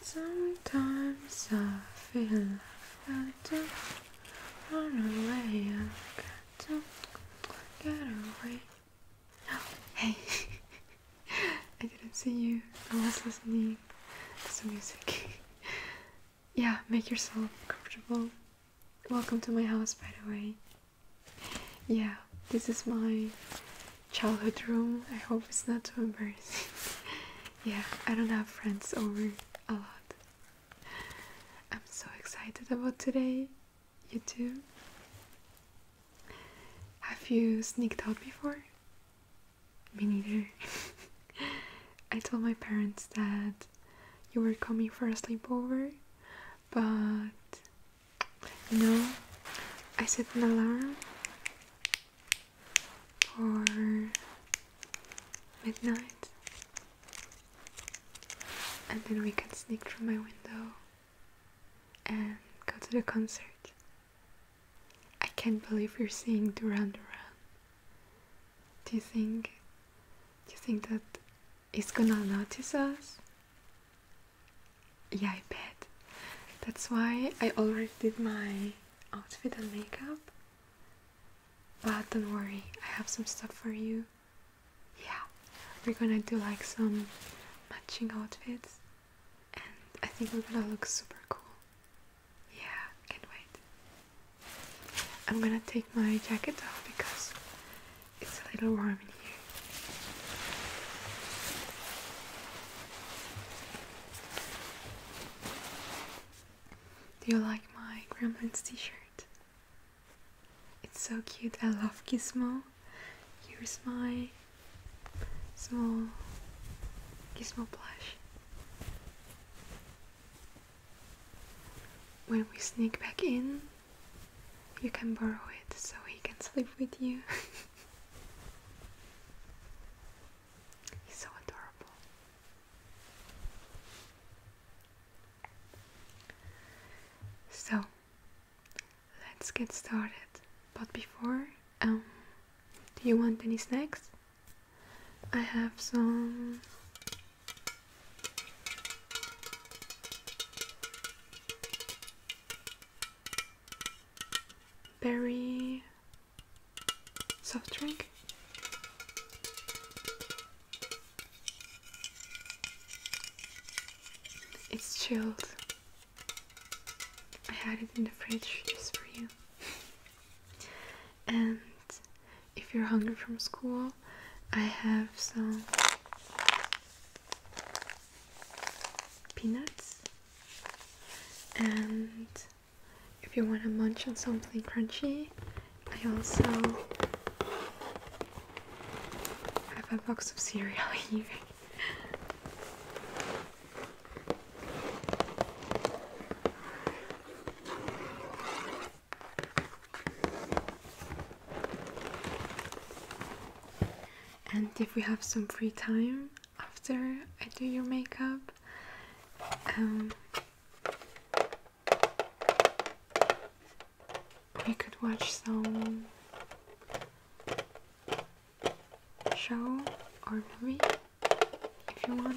Sometimes I feel like I don't run away, I got to get away. Oh, hey, I didn't see you. I was listening some music. yeah, make yourself comfortable. Welcome to my house, by the way. Yeah, this is my childhood room. I hope it's not too embarrassing. yeah, I don't have friends over a lot. I'm so excited about today. You too? Have you sneaked out before? Me neither. I told my parents that you were coming for a sleepover, but no, I set an alarm for midnight and then we can sneak through my window and go to the concert. I can't believe we are seeing Duran Duran. Do you think do you think that he's gonna notice us? Yeah, I bet. That's why I already did my outfit and makeup. But don't worry, I have some stuff for you. Yeah, we're gonna do like some matching outfits, and I think we're gonna look super cool. Yeah, can't wait. I'm gonna take my jacket off because it's a little warm in here. Do you like my Gremlins t-shirt? It's so cute, I love Gizmo. Here's my small Gizmo plush. When we sneak back in, you can borrow it so he can sleep with you. He's so adorable. So, let's get started. But before, um, do you want any snacks? I have some berry soft drink. It's chilled. I had it in the fridge just for you. And if you're hungry from school, I have some peanuts. And if you want to munch on something crunchy, I also have a box of cereal here. And if we have some free time after I do your makeup, um, we could watch some show or movie if you want.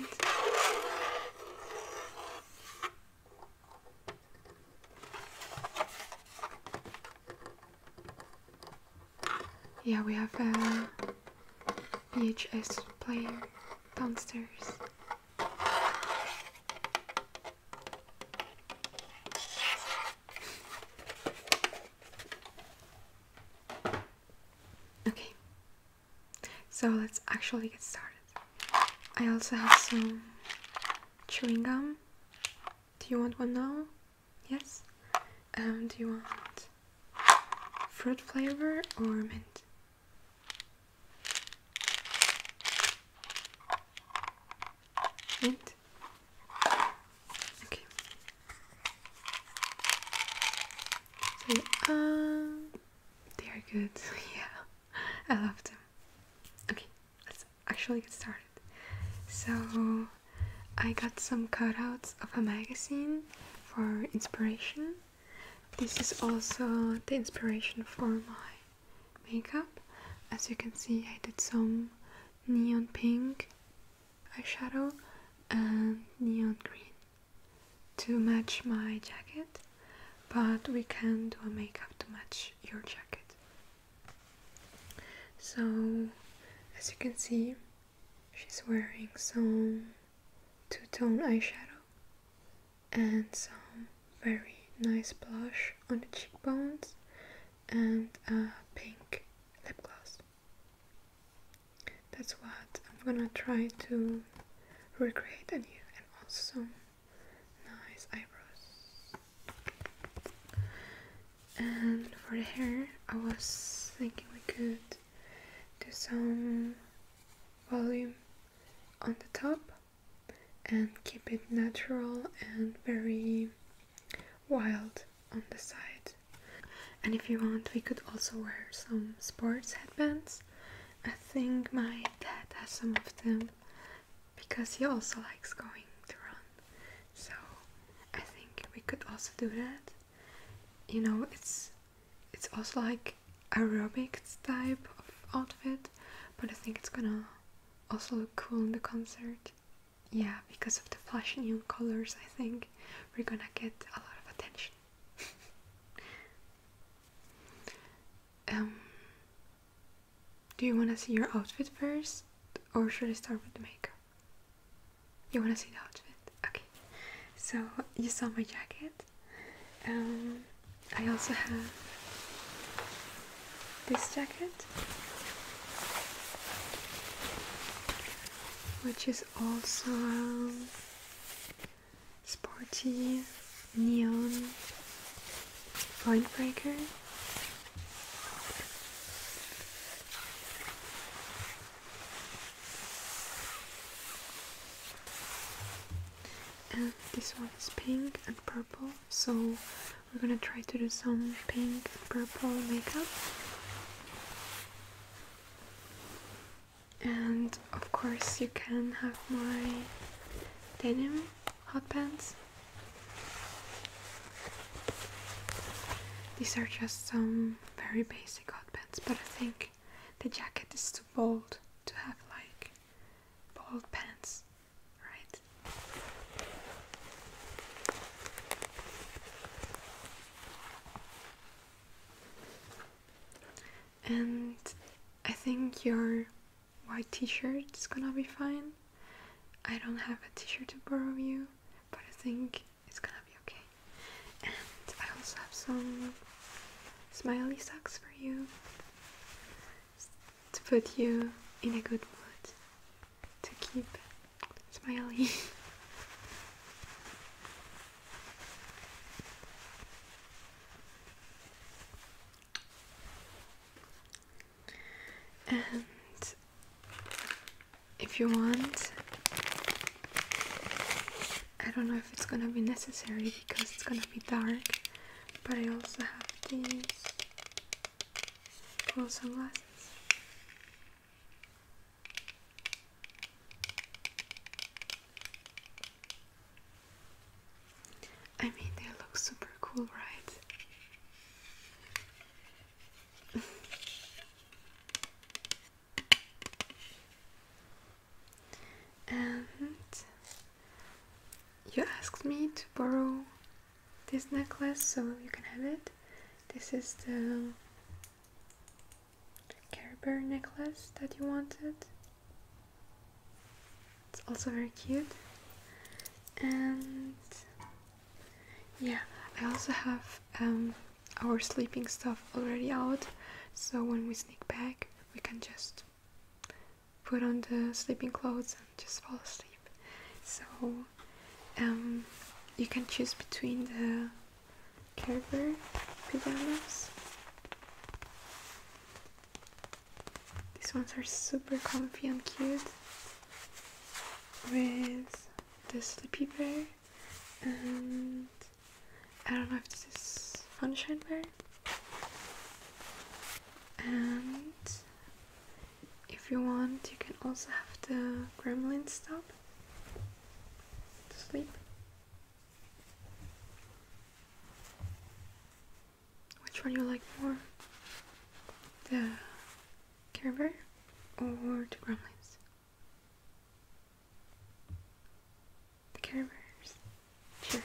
Yeah, we have a VHS player downstairs. Okay, so let's actually get started. I also have some chewing gum. Do you want one now? Yes? Um, do you want fruit flavor or mint? Mint? Okay. So um, they are good. yeah, I love them. Okay, let's actually get started. So I got some cutouts of a magazine for inspiration. This is also the inspiration for my makeup. As you can see, I did some neon pink eyeshadow and neon green to match my jacket, but we can do a makeup to match your jacket. So, as you can see, she's wearing some two tone eyeshadow and some very nice blush on the cheekbones and a pink lip gloss. That's what I'm gonna try to recreate A new and also nice eyebrows. And for the hair, I was thinking we could do some volume on the top and keep it natural and very wild on the side. And if you want, we could also wear some sports headbands I think my dad has some of them because he also likes going to run. So I think we could also do that. You know, it's it's also like aerobics type of outfit, but I think it's gonna also look cool in the concert. Yeah, because of the flashy neon colors, I think we're gonna get a lot of attention. Um, do you want to see your outfit first, or should I start with the makeup? You want to see the outfit? Okay. So you saw my jacket. Um, I also have this jacket, which is also sporty neon point breaker. And this one is pink and purple, so we're gonna try to do some pink and purple makeup and of course you can have my denim hot pants. These are just some very basic hot pants, but I think the jacket is too bold to have like bold pants, right? and I think your white t-shirt is gonna be fine. I don't have a t-shirt to borrow you, but I think it's gonna be okay. And I also have some smiley socks for you to put you in a good mood to keep smiling. And if you want, I don't know if it's gonna be necessary because it's gonna be dark, but I also have these cool sunglasses. I mean, they look super cool, right? and you asked me to borrow this necklace, so you can have it. This is the Care Bear necklace that you wanted. It's also very cute. And yeah, I also have um, our sleeping stuff already out, so when we sneak back, we can just put on the sleeping clothes and just fall asleep. So um, you can choose between the Carver pajamas. These ones are super comfy and cute with the sleepy bear and I don't know if this sunshine bear and if you want you can also have the gremlin stop to sleep which one you like more? The Care or the Gremlins? The Care Sure.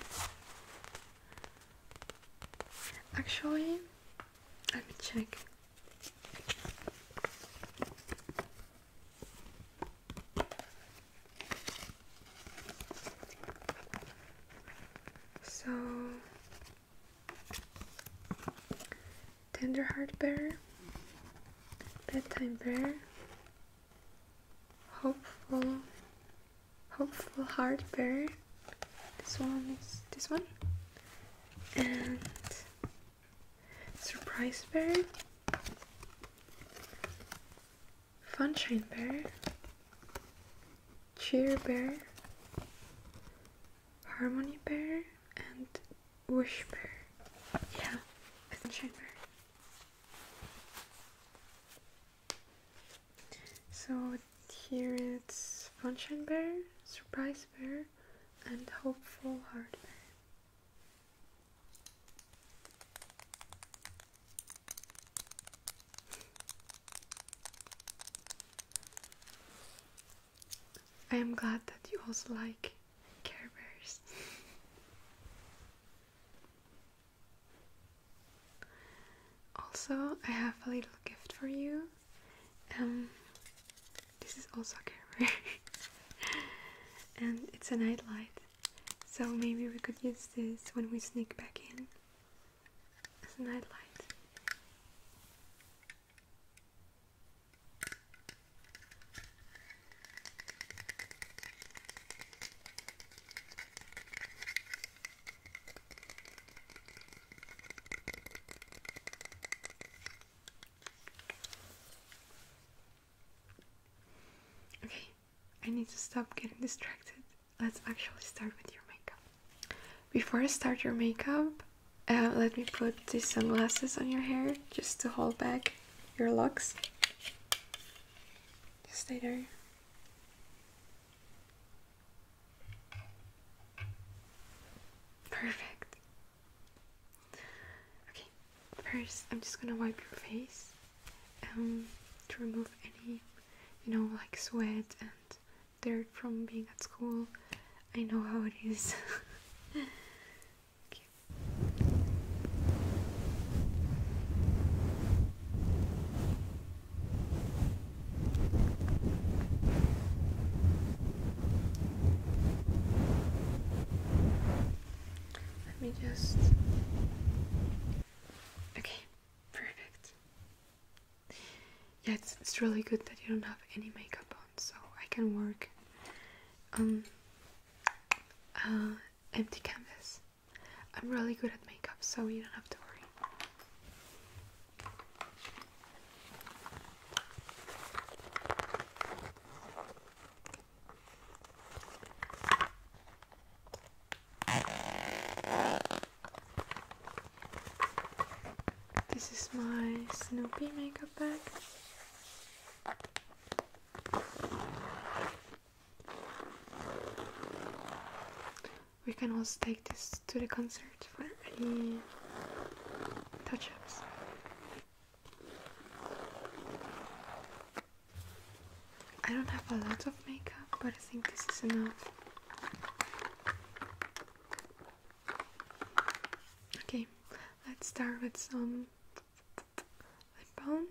Actually, let me check. So, Tenderheart Bear, Bedtime Bear, Hopeful, Hopeful Heart Bear. This one is this one, and Surprise Bear, Funshine Bear, Cheer Bear, Harmony Bear, and Wish Bear. Yeah, Funshine Bear. So here it's Funshine Bear, Surprise Bear, and Hopeful Heart Bear. I am glad that you also like Care Bears. also, I have a little gift for you. Um, this is also a Care Bear, and it's a nightlight. So maybe we could use this when we sneak back in as a nightlight. Okay, I need to stop getting distracted. Let's actually start with your makeup. Before I start your makeup, uh, let me put these sunglasses on your hair just to hold back your locks. Just stay there. Perfect. Okay, first I'm just gonna wipe your face um, to remove any, you know, like sweat and dirt from being at school. I know how it is. Let me just. Okay, perfect. Yeah, it's, it's really good that you don't have any makeup on, so I can work on um, uh, empty canvas. I'm really good at makeup, so you don't have to worry. This is my Snoopy makeup bag. We can also take this to the concert for any touch ups. I don't have a lot of makeup, but I think this is enough. Okay, let's start with some lip balm.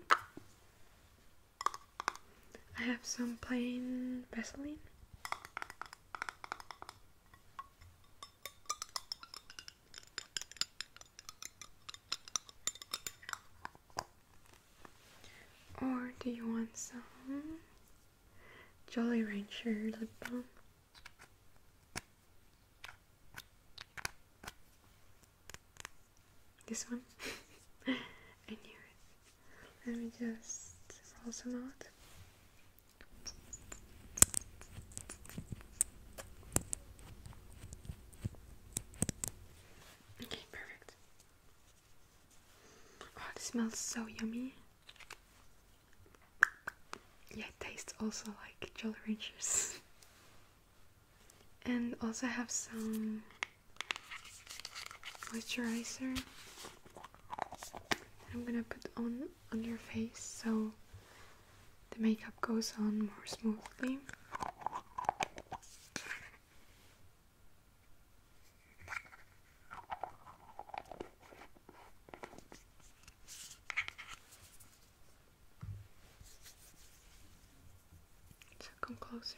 I have some plain Vaseline. Or do you want some Jolly Rancher lip balm? This one? I knew it. Let me just roll some out. Okay, perfect. Oh, it smells so yummy. Yeah, it tastes also like Jolly Ranchers. and also have some moisturizer. I'm gonna put on on your face so the makeup goes on more smoothly. So come closer.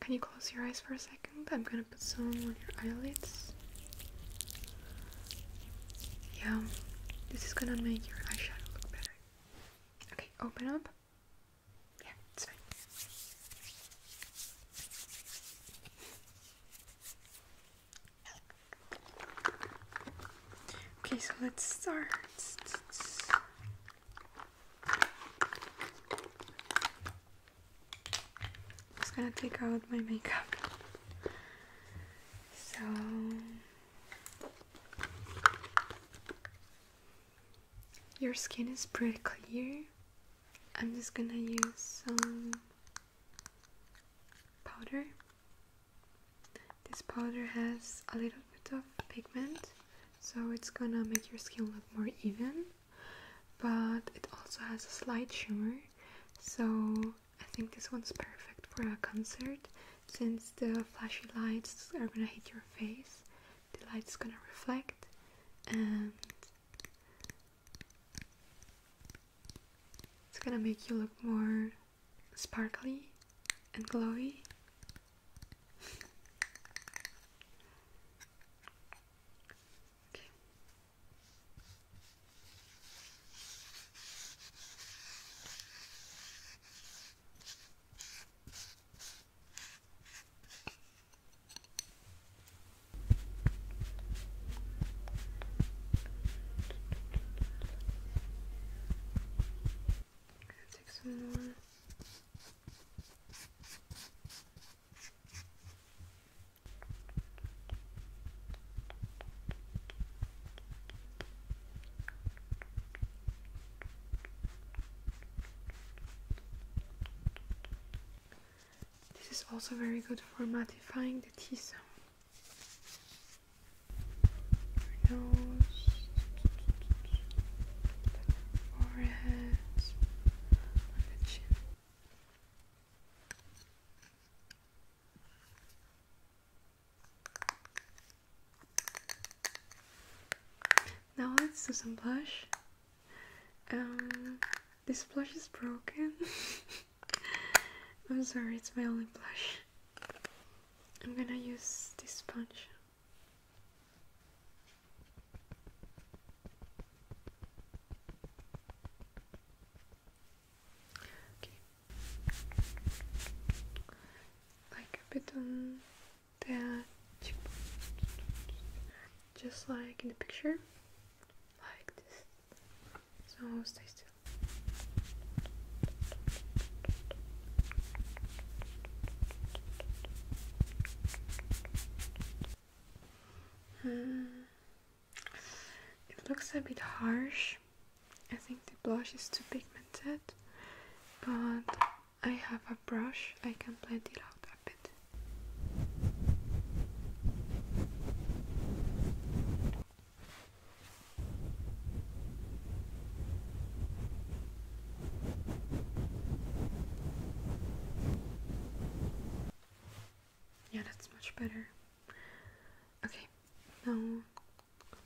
Can you close your eyes for a second? I'm gonna put some on your eyelids. Yeah, this is gonna make your eyeshadow look better. Okay, open up. Yeah, it's fine. Okay, so let's start. I'm just gonna take out my makeup. So. Your skin is pretty clear. I'm just gonna use some powder this powder has a little bit of pigment, so it's gonna make your skin look more even, but it also has a slight shimmer, so I think this one's perfect for a concert since the flashy lights are gonna hit your face, the light's gonna reflect, and it's gonna make you look more sparkly and glowy. This is also very good for mattifying the T zone nose, forehead, under chin. Now let's do some blush. Um, this blush is broken. I'm sorry, it's my only blush. I'm gonna use this sponge. Like a bit on that, just like in the picture, like this. So stay still. Uh, it looks a bit harsh. I think the blush is too pigmented, but I have a brush, I can blend it out a bit. Yeah, that's much better. Okay, now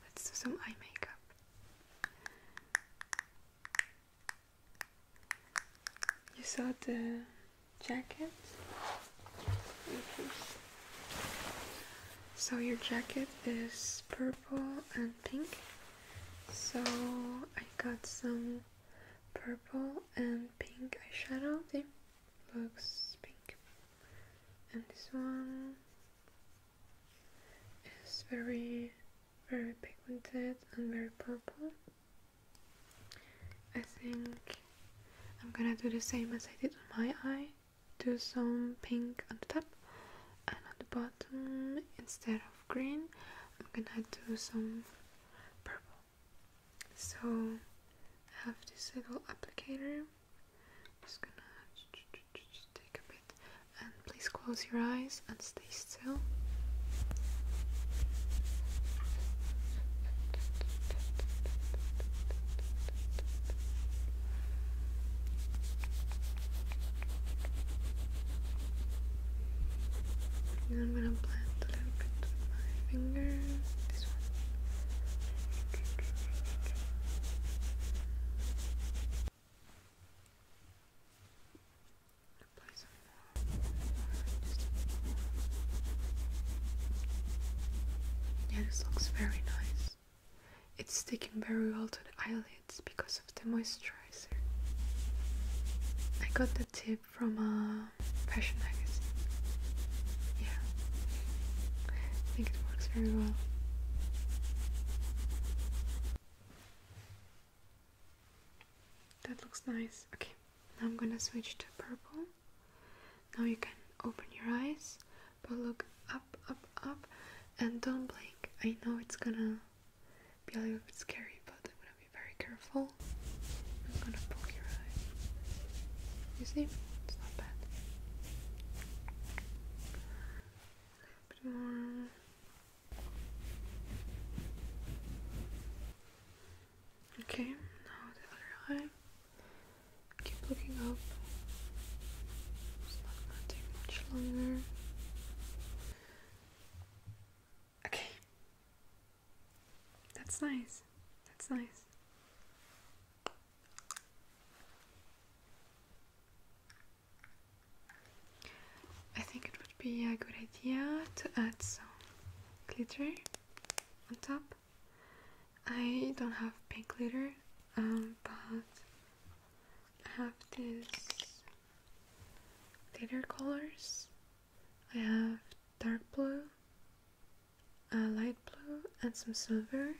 let's do some eye makeup. You saw the jacket? So your jacket is purple and pink so I got some purple and pink eyeshadow they looks pink and this one is very very pigmented and very purple I think I'm gonna do the same as I did on my eye do some pink on the top and on the bottom instead of green I'm gonna do some purple so I have this little applicator just gonna take a bit and please close your eyes and stay still I'm gonna blend a little bit with my finger. This one. yeah, this looks very nice. It's sticking very well to the eyelids because of the moisturizer. I got the tip from a fashion magazine. Yeah, I think it works very well. That looks nice. Okay, now I'm gonna switch to purple. Now you can open your eyes but look up, up, up, and don't blink. I know it's gonna be a little bit scary, but I'm gonna be very careful. I'm gonna poke your eye. You see? It's not bad. A bit more. Okay, now the other eye. Keep looking up. Okay. That's nice. That's nice. I think it would be a good idea to add some glitter on top. I don't have pink glitter, um, but I have these glitter colors. I have dark blue, a light blue, and some silver.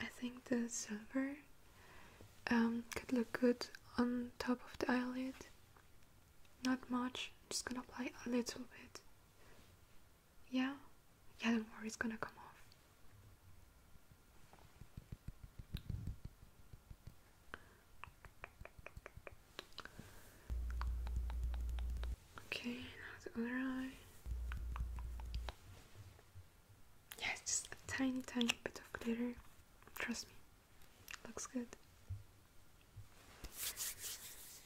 I think the silver um, could look good on top of the eyelid. Not much, just gonna apply a little bit. Yeah, yeah, don't worry, it's gonna come off. Okay, now the other eye. Yeah, just a tiny, tiny bit of glitter. Trust me, looks good.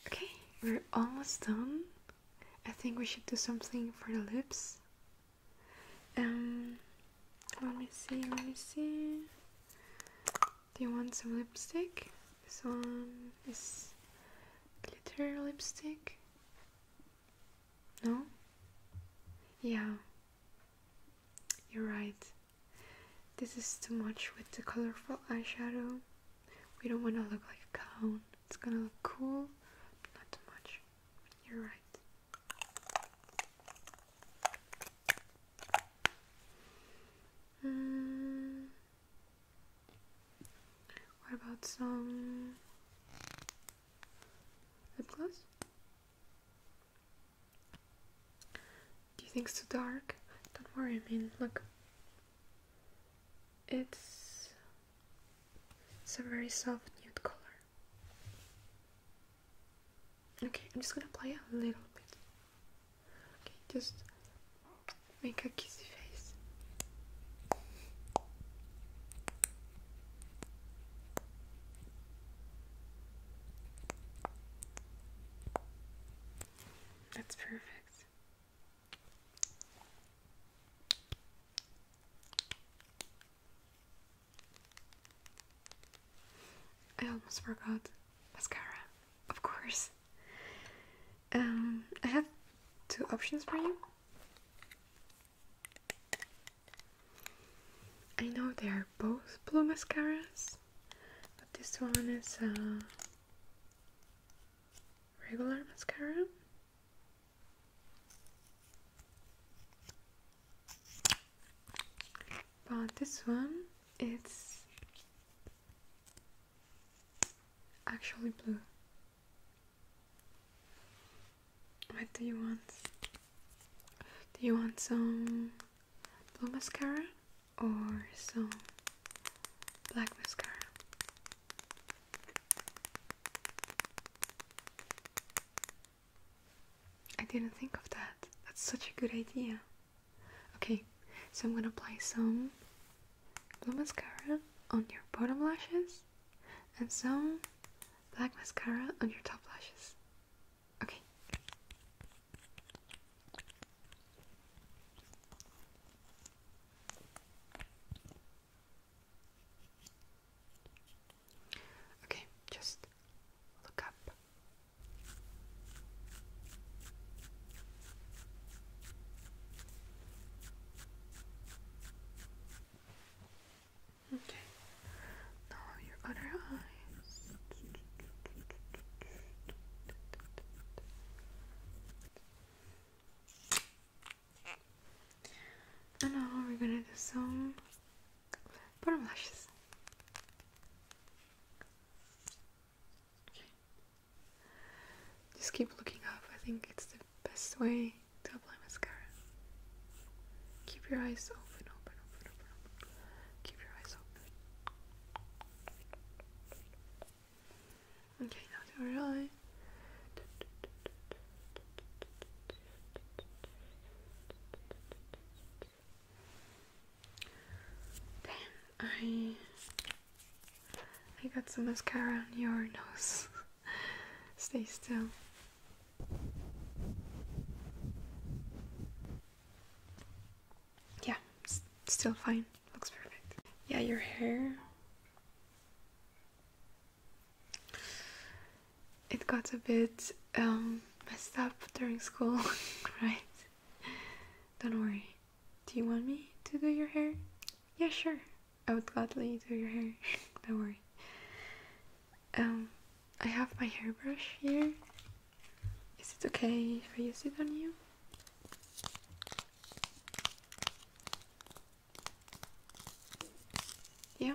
Okay, we're almost done. I think we should do something for the lips. Um, let me see, let me see. Do you want some lipstick? This one is glitter lipstick. No? Yeah, you're right. This is too much with the colorful eyeshadow. We don't want to look like a clown. It's gonna look cool, but not too much. You're right. Mm. What about some lip gloss? Do you think it's too dark? Don't worry, I mean, look. It's it's a very soft nude color. Okay, I'm just gonna apply a little bit. Okay, just make a kissy face. That's perfect. I almost forgot mascara, of course. Um, I have two options for you. I know they are both blue mascaras, but this one is a regular mascara but this one it's actually blue. What do you want? Do you want some blue mascara or some black mascara? I didn't think of that. That's such a good idea. Okay, so I'm gonna apply some blue mascara on your bottom lashes and some black mascara on your top lashes. Okay. Okay, just look up. Okay. Now your other eyes. And now we're gonna do some bottom lashes. Okay. Just keep looking up. I think it's the best way to apply mascara. Keep your eyes open, open, open, open, Keep your eyes open. Okay, now the real eye. Damn, I I got some mascara on your nose. Stay still. Yeah, still fine. Looks perfect. Yeah, your hair it got a bit um, messed up during school, right? Don't worry. Do you want me to do your hair? Yeah, sure. I would gladly do your hair. Don't worry. Um, I have my hairbrush here. Is it okay if I use it on you? Yeah,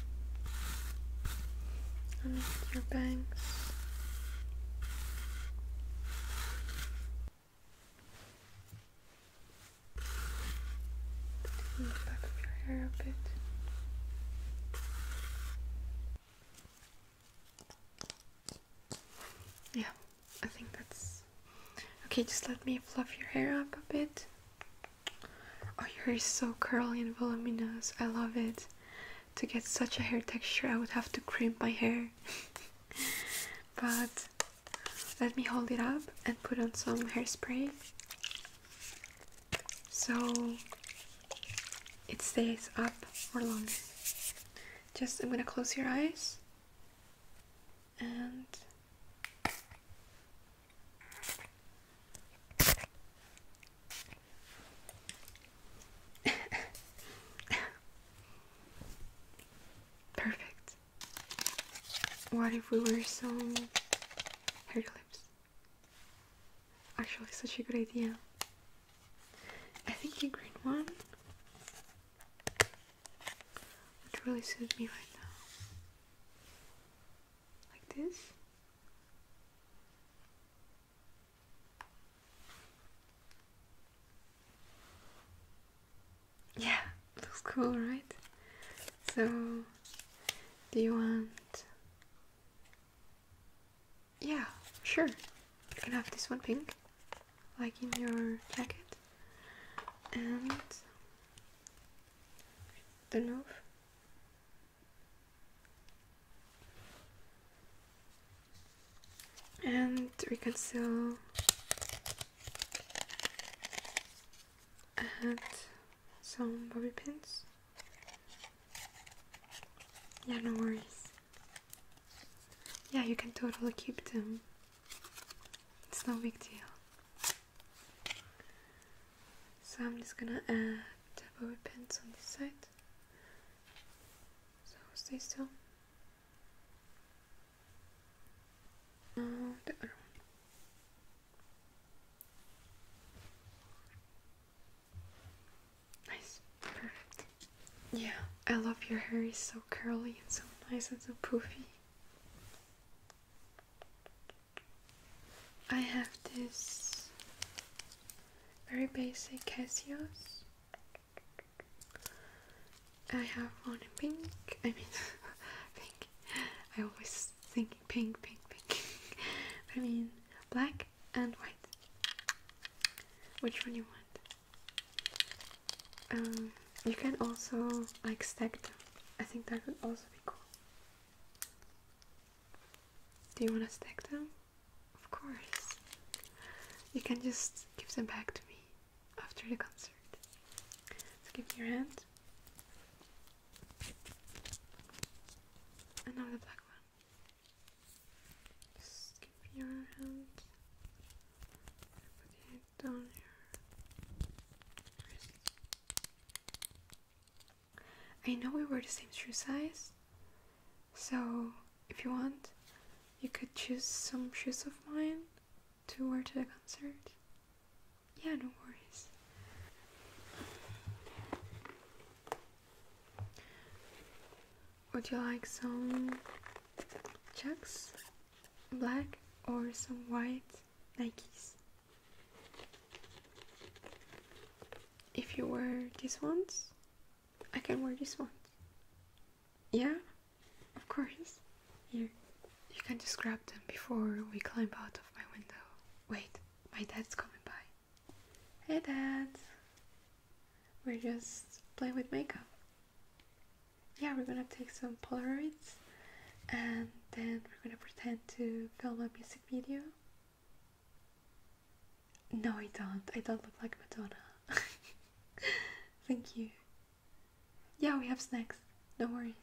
underneath your bangs. In your hair a bit. Yeah, I think that's okay. Just let me fluff your hair up a bit. Oh, your hair is so curly and voluminous. I love it. To get such a hair texture, I would have to crimp my hair. but let me hold it up and put on some hairspray. So it stays up for longer. Just I'm gonna close your eyes and Perfect. What if we wear some hair clips? Actually, such a good idea. I think the green one would really suit me right now like this. Yeah, looks cool, right? So, do you want. Yeah, sure. You can have this one pink, like in your jacket. And. The nose and we can reconcile add some bobby pins yeah no worries yeah you can totally keep them it's no big deal so I'm just gonna add double pins on this side. So stay still. Now the other Nice, perfect. Yeah, I love your hair. It's so curly and so nice and so poofy. I have this very basic Casios. I have one in pink. I mean, pink. I always think pink, pink, pink. I mean, black and white. Which one you want? Um, you can also like stack them. I think that would also be cool. Do you want to stack them? Of course. You can just give them back to me after the concert. So give your hand. And black one. Just your hand. Put down your I know we were the same shoe size, so if you want, you could choose some shoes of mine to wear to the concert. Yeah, no worries. Would you like some chucks, black, or some white Nikes? If you wear these ones, I can wear these ones. Yeah, of course. Here, you can just grab them before we climb out of my window. Wait, my dad's coming by. Hey, Dad. We're just playing with makeup. Yeah, we're gonna take some Polaroids and then we're gonna pretend to film a music video no, I don't. I don't look like Madonna. Thank you. Yeah, we have snacks. No worries.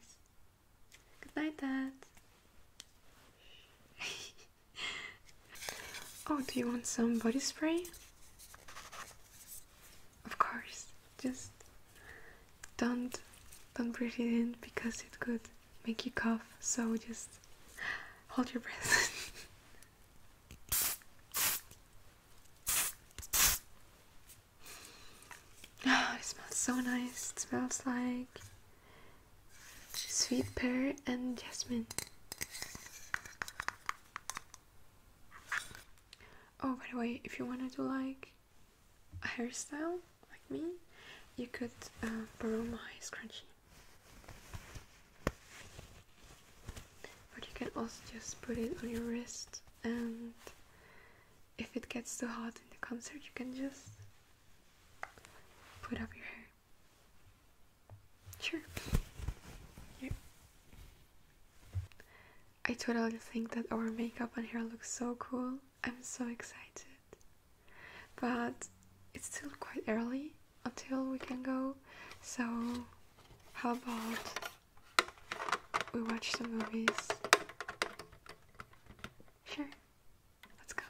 Good night, Dad. oh, do you want some body spray? Of course. Just don't don't breathe it in because it could make you cough, so just hold your breath. oh, it smells so nice. It smells like sweet pear and jasmine. Oh, by the way, if you wanted to like a hairstyle, like me, you could uh, borrow my scrunchie. But you can also just put it on your wrist, and if it gets too hot in the concert, you can just put up your hair. Sure. Yeah. I totally think that our makeup and hair looks so cool. I'm so excited but it's still quite early until we can go. So, how about we watch some movies? Sure. Let's go.